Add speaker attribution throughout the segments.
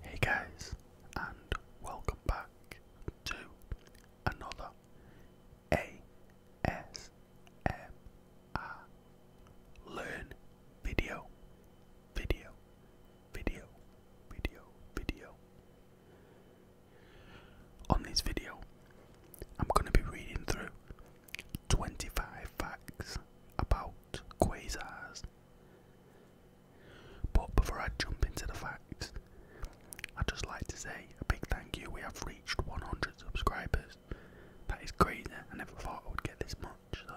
Speaker 1: Hey guys, and welcome back to another ASMR Learn video, video, video, video, video. On this video, I'm going to be reading through 25 facts about quasars. But before I jump into the facts, I'd just like to say a big thank you. We have reached 100 subscribers. That is crazy. I never thought I would get this much. So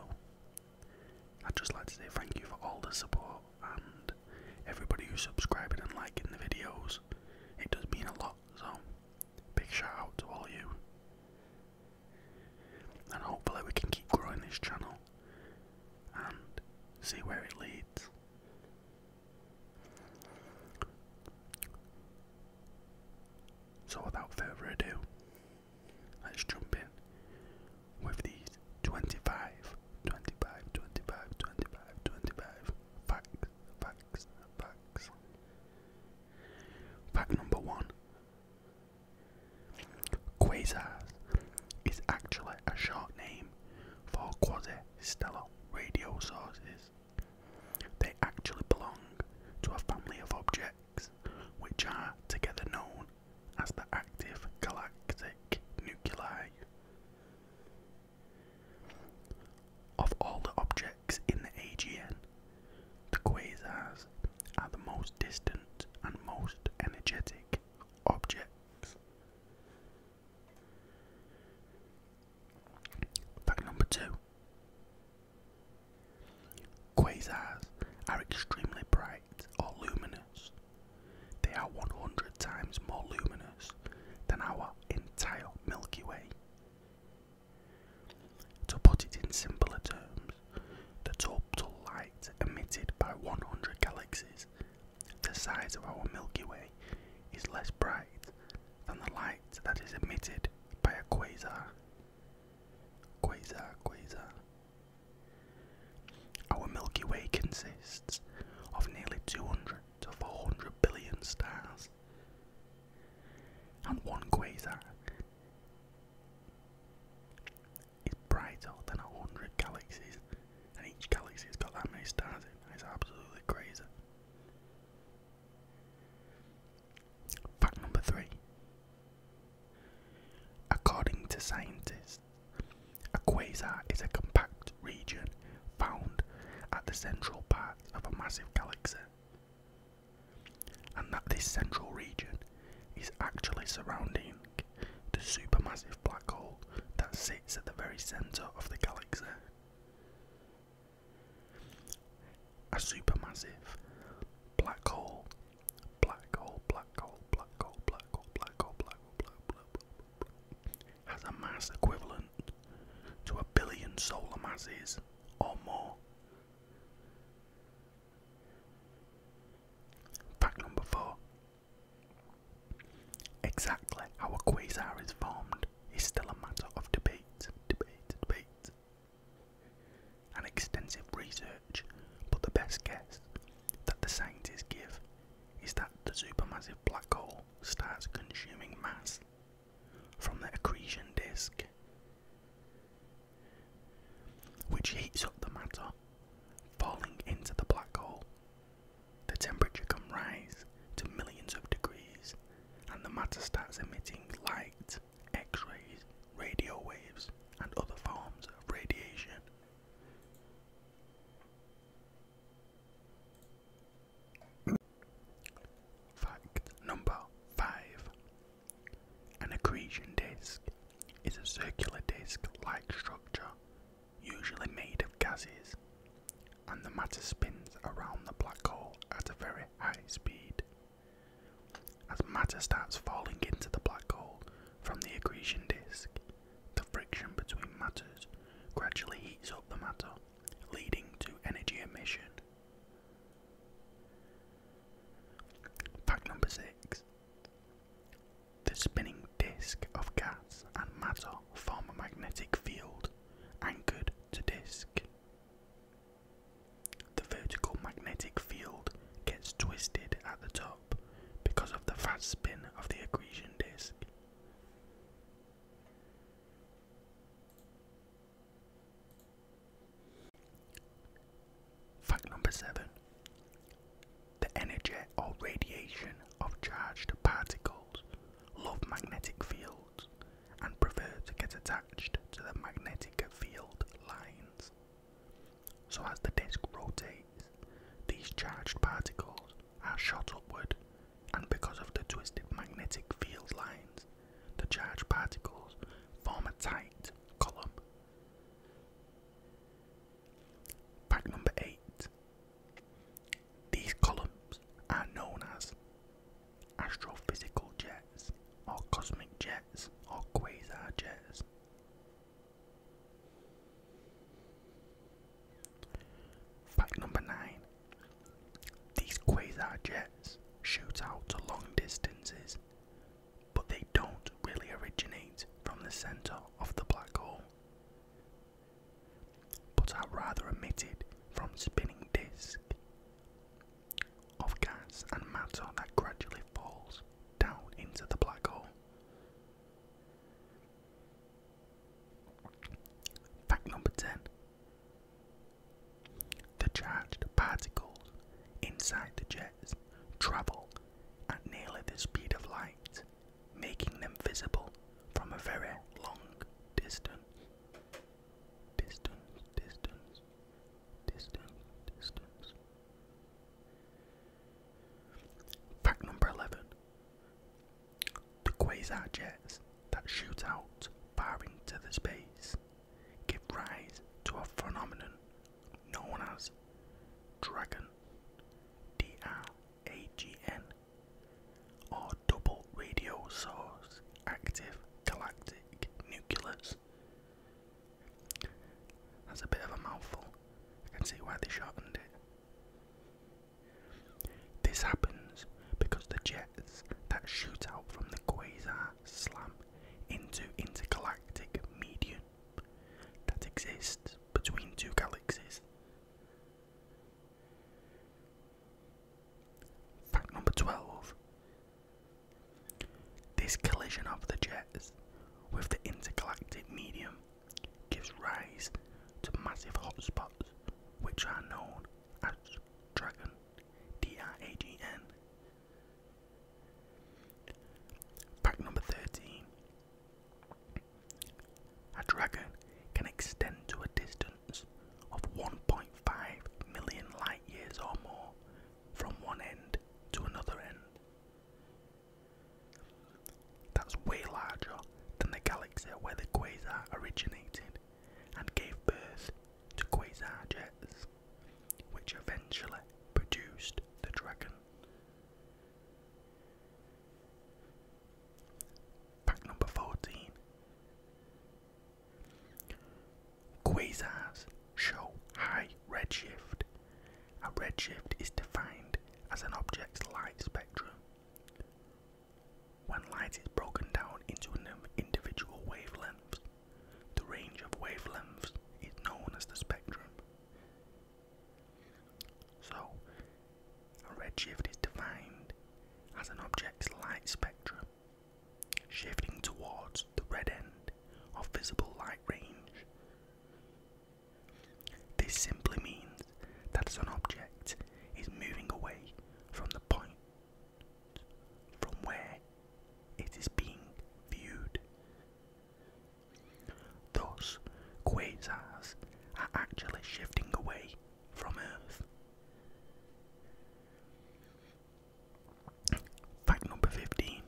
Speaker 1: i just like to say thank you for all the support and everybody who's subscribing and liking the videos. It does mean a lot lot. So, big shout out to all you. And hopefully, we can keep growing this channel and see where it leads. So, without further ado, let's jump in with these 25, 25, 25, 25, 25 facts, facts, Fact number one Quasars is actually a short name for quasi stellar radio sources. They actually belong to a family of objects which are together known as the active galactic nuclei. Of all the objects in the AGN, the quasars are the most distant and most energetic objects. Fact number two Quasars are extremely bright or luminous. They are 100 times more luminous than our entire Milky Way. To put it in simpler terms, the total light emitted by 100 galaxies, the size of our Milky Way, is less bright than the light that is emitted by a quasar. Quasar, quasar. Our Milky Way consists of nearly 200 to 400 billion stars, and one quasar is brighter than a hundred galaxies, and each galaxy's got that many stars in. It's absolutely crazy. Fact number three. According to scientists, a quasar is a compact region found at the central part parts of a massive galaxy, and that this central region is actually surrounding the supermassive black hole that sits at the very centre of the galaxy. A supermassive black hole, black hole, black hole, black hole, black hole, black hole, black hole, black hole, black hole, black hole, black hole has a mass equivalent to a billion solar masses or more. Fact number four. Exactly how a quasar is formed is still a matter of debate, debate, debate, and extensive research, but the best guess that the scientists give is that the supermassive black hole starts consuming mass from the accretion disk, which heats up the matter, falling into the black hole. The temperature can rise to millions of degrees, and the matter starts emitting light, X rays, radio waves, and other forms of radiation. Fact number five An accretion disk is a circular disk like structure, usually made of gases, and the matter spins around the black hole at a very high speed. As matter starts falling into the black hole from the accretion disk, the friction between matters gradually heats up the matter leading to energy emission. Fact number six The spinning disk of gas and matter form a magnetic field anchored to disk. The vertical magnetic field gets twisted at the top because of the fast spin of the accretion disk. Fact number seven The energy or radiation of charged particles love magnetic fields and prefer to get attached to the magnetic field lines. So, as the disk rotates, these charged particles are shot upward and because of the twisted magnetic field lines, the charged particles form a tight column. Fact number 8. These columns are known as astrophysical jets, or cosmic jets, or quasar jets. Fact number 9. These quasar jets shoot out to long distances, but they don't really originate from the centre of the black hole, but are rather emitted from spinning disk of gas and matter that gradually falls down into the black hole. Fact number 10 the charged particles inside the jets travel at nearly the speed of light, making them visible from a very long distance. Distance, distance, distance, distance. Fact number 11. The quasar jets that shoot out far into the space give rise to a phenomenon known as dragon, D-R-A-G-N, or double radio source active galactic nucleus. That's a bit of a mouthful. I can see why they shortened it. This happens because the jets that shoot out from the quasar slam into intergalactic medium that exists between two galaxies. Fact number 12 This collision of the jets with the intergalactic medium gives rise to massive hotspots which are known as Dragon, D-R-A-G-N. Pack number 13. A dragon can extend to a distance of 1.5 million light years or more from one end to another end. That's way larger than the galaxy where the quasar originated and gave birth to quasar jets, which eventually produced the dragon. Fact number 14 Quasars show high redshift. A redshift is defined as an object's light spectrum, when light is broken down into individual wavelengths, the range of wavelengths is known as the spectrum. So, a redshift is defined as an object's light spectrum shifting towards the red end of visible light range. This simply means that an object is moving away from the point from where it is being viewed. Thus, quasars are actually shifting away from Earth. Fact number 15.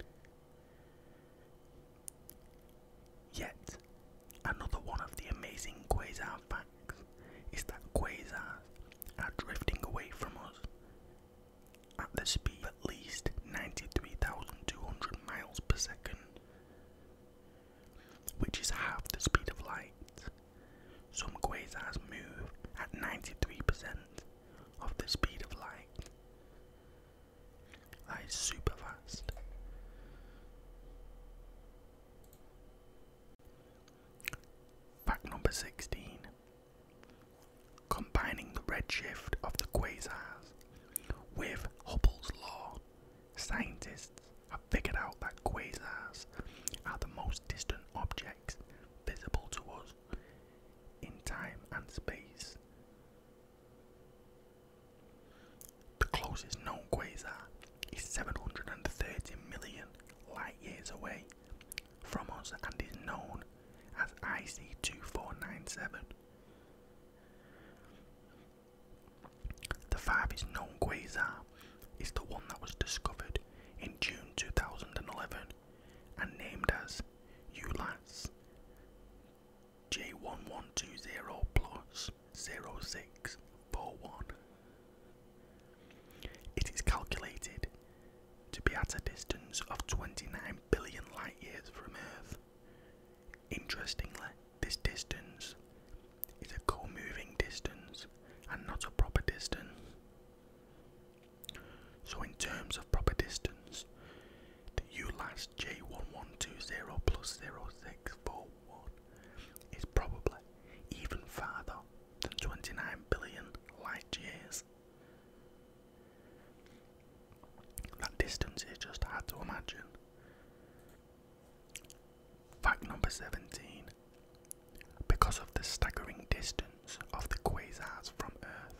Speaker 1: Yet another one of the amazing quasar facts is that quasars are drifting away from us at the speed of at least 93,200 miles per second, which is half the speed of light. Some quasars move at 93% of the speed of light. That is super fast. Fact number 16. Combining the redshift of the quasars with Hubble's law, scientists have figured out that quasars are the most distant objects visible to us in time and space. The closest known quasar is 730 million light years away from us and is known as IC 2497. The farthest known quasar is the one that was discovered in June 2011 and named as ULAS J1120 plus 0641 it is calculated to be at a distance of 29 billion light years from Earth. Interestingly, this distance is a co moving distance and not a proper distance. So, in terms of proper distance, the ULAS J1120 plus 064 one is probably even farther than 29 billion light years. That distance is just hard to imagine. Fact number 17. Because of the staggering distance of the quasars from Earth,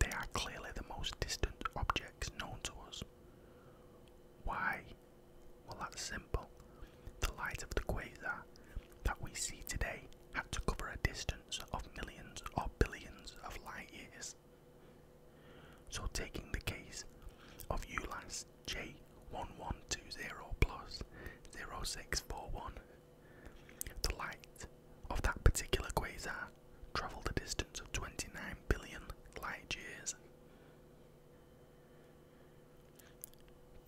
Speaker 1: they are clearly the most distant objects known to us. Why well, that's simple. The light of the quasar that we see today had to cover a distance of millions or billions of light years. So, taking the case of ULAS J1120 plus 0641, the light of that particular quasar travelled a distance of 29 billion light years.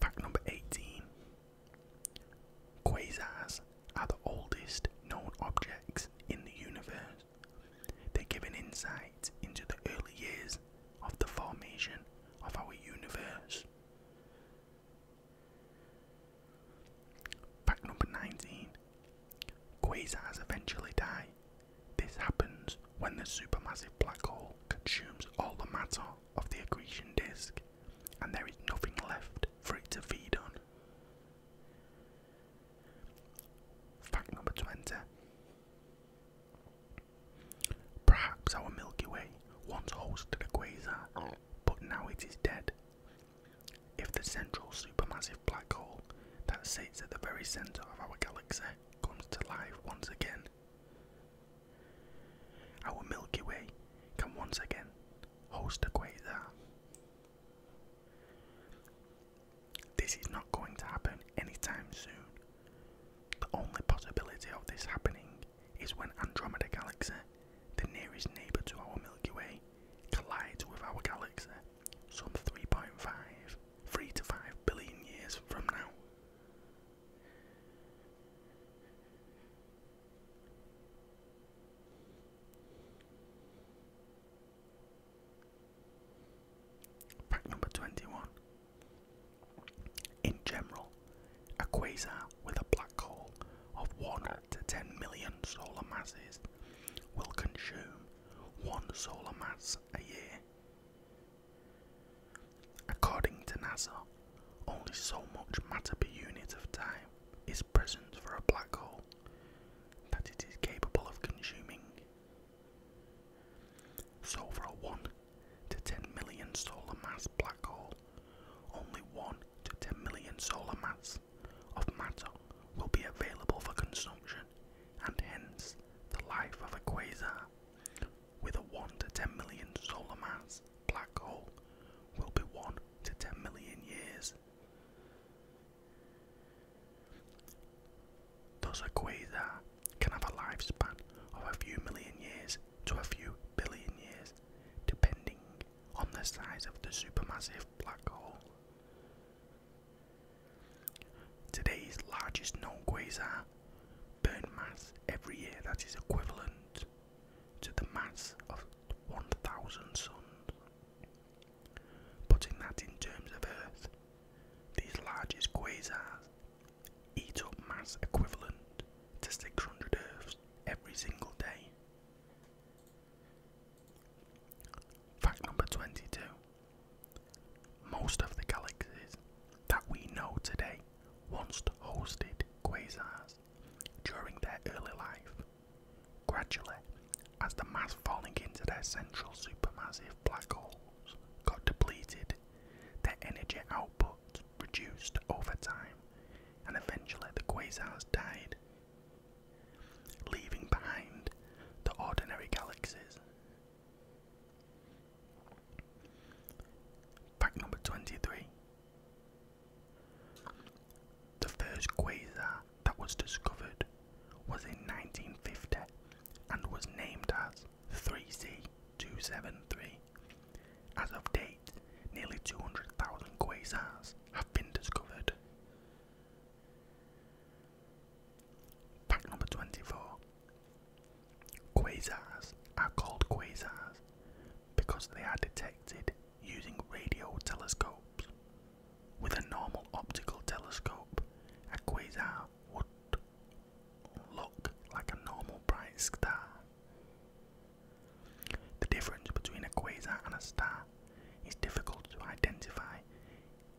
Speaker 1: Fact number 18 Quasars are the oldest known objects in the universe. They give an insight into the early years of the formation of our universe. Fact number 19 Quasars eventually die. This happens when the supermassive black hole consumes all the matter of the accretion disk, and there is nothing left for it to feed on. Fact number 20. Perhaps our Milky Way once hosted a quasar, but now it is dead. If the central supermassive black hole that sits at the very centre of our galaxy comes to life once again, our Milky Way can once again host a quasar. This is not going to happen anytime soon. The only possibility of this happening is when Andromeda Galaxy, the nearest neighbour to our Milky Way, collides with our galaxy some 3.5, 3 to 5 billion years from now. Fact number 21. In general, a quasar with a black hole of 1 to 10 million solar masses will consume 1 solar mass a year. According to NASA, only so much matter per unit of time is present for a black hole that it is capable of consuming. So, for a 1 to 10 million solar mass black hole, only 1 to 10 million solar mass of matter will be available for consumption, and hence the life of a quasar with a 1 to 10 million solar mass black hole will be 1 to 10 million years. Thus, a quasar can have a lifespan of a few million years to a few billion years, depending on the size of the supermassive black hole. Today's largest known quasar burn mass every year that is equivalent to the mass of 1,000 suns. Putting that in terms of Earth, these largest quasars eat up mass equivalent to 600 Earths every single day. Fact number 22 most of the galaxies that we know today once hosted quasars during their early life. Gradually, as the mass falling into their central supermassive black holes got depleted, their energy output reduced over time, and eventually the quasars died, leaving behind the ordinary galaxies Fact number 23. The first quasar that was discovered was in 1950 and was named as 3C273. As of date, nearly 200,000 quasars have been discovered. Fact number 24. Quasars are called quasars because they are detected using radio telescopes. With a normal optical telescope, a quasar would look like a normal bright star. The difference between a quasar and a star is difficult to identify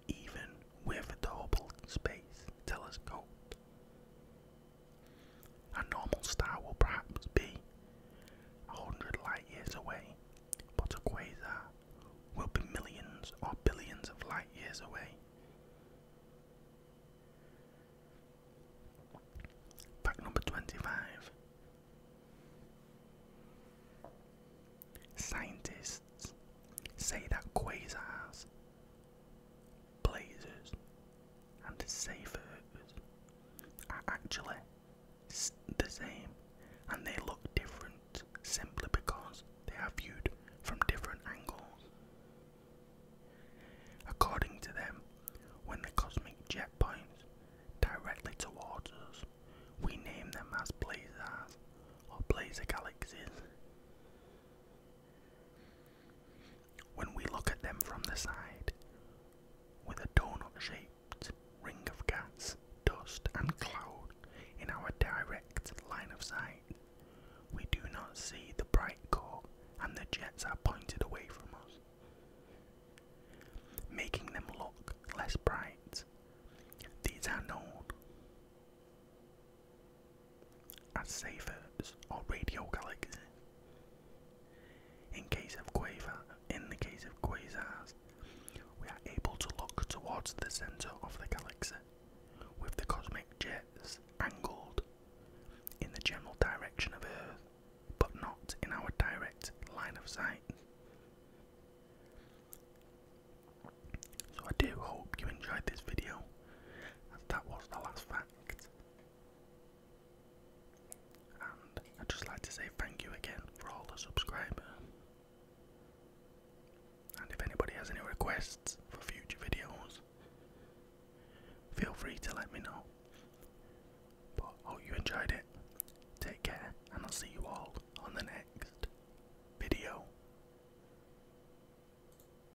Speaker 1: even with a Hubble Space Telescope. A normal star will perhaps be a hundred light years away, but a quasar will be millions or billions of light years away. Fact number 25. Scientists say that quasars blazers and the Saferers are actually the same and they look different simply because they are viewed from different angles. According to them, when the cosmic jet points directly towards us, we name them as blazars or blazer galaxies. When we look at them from the side, with a donut shaped ring of gas, dust, and cloud in our direct line of sight, we do not see the bright core and the jets are pointed away from us, making them look less bright. These are known as Saphir's or radio galaxy. In case of quasar, in the case of quasars, we are able to look towards the center of the galaxy with the cosmic jets angled in the general direction of Earth, but not in our direct line of sight. So I do hope you enjoyed this video, that was the last 5 and I'd just like to say thank you again for all the subscribers. And if anybody has any requests for future videos, feel free to let me know. But hope you enjoyed it. Take care, and I'll see you all on the next video.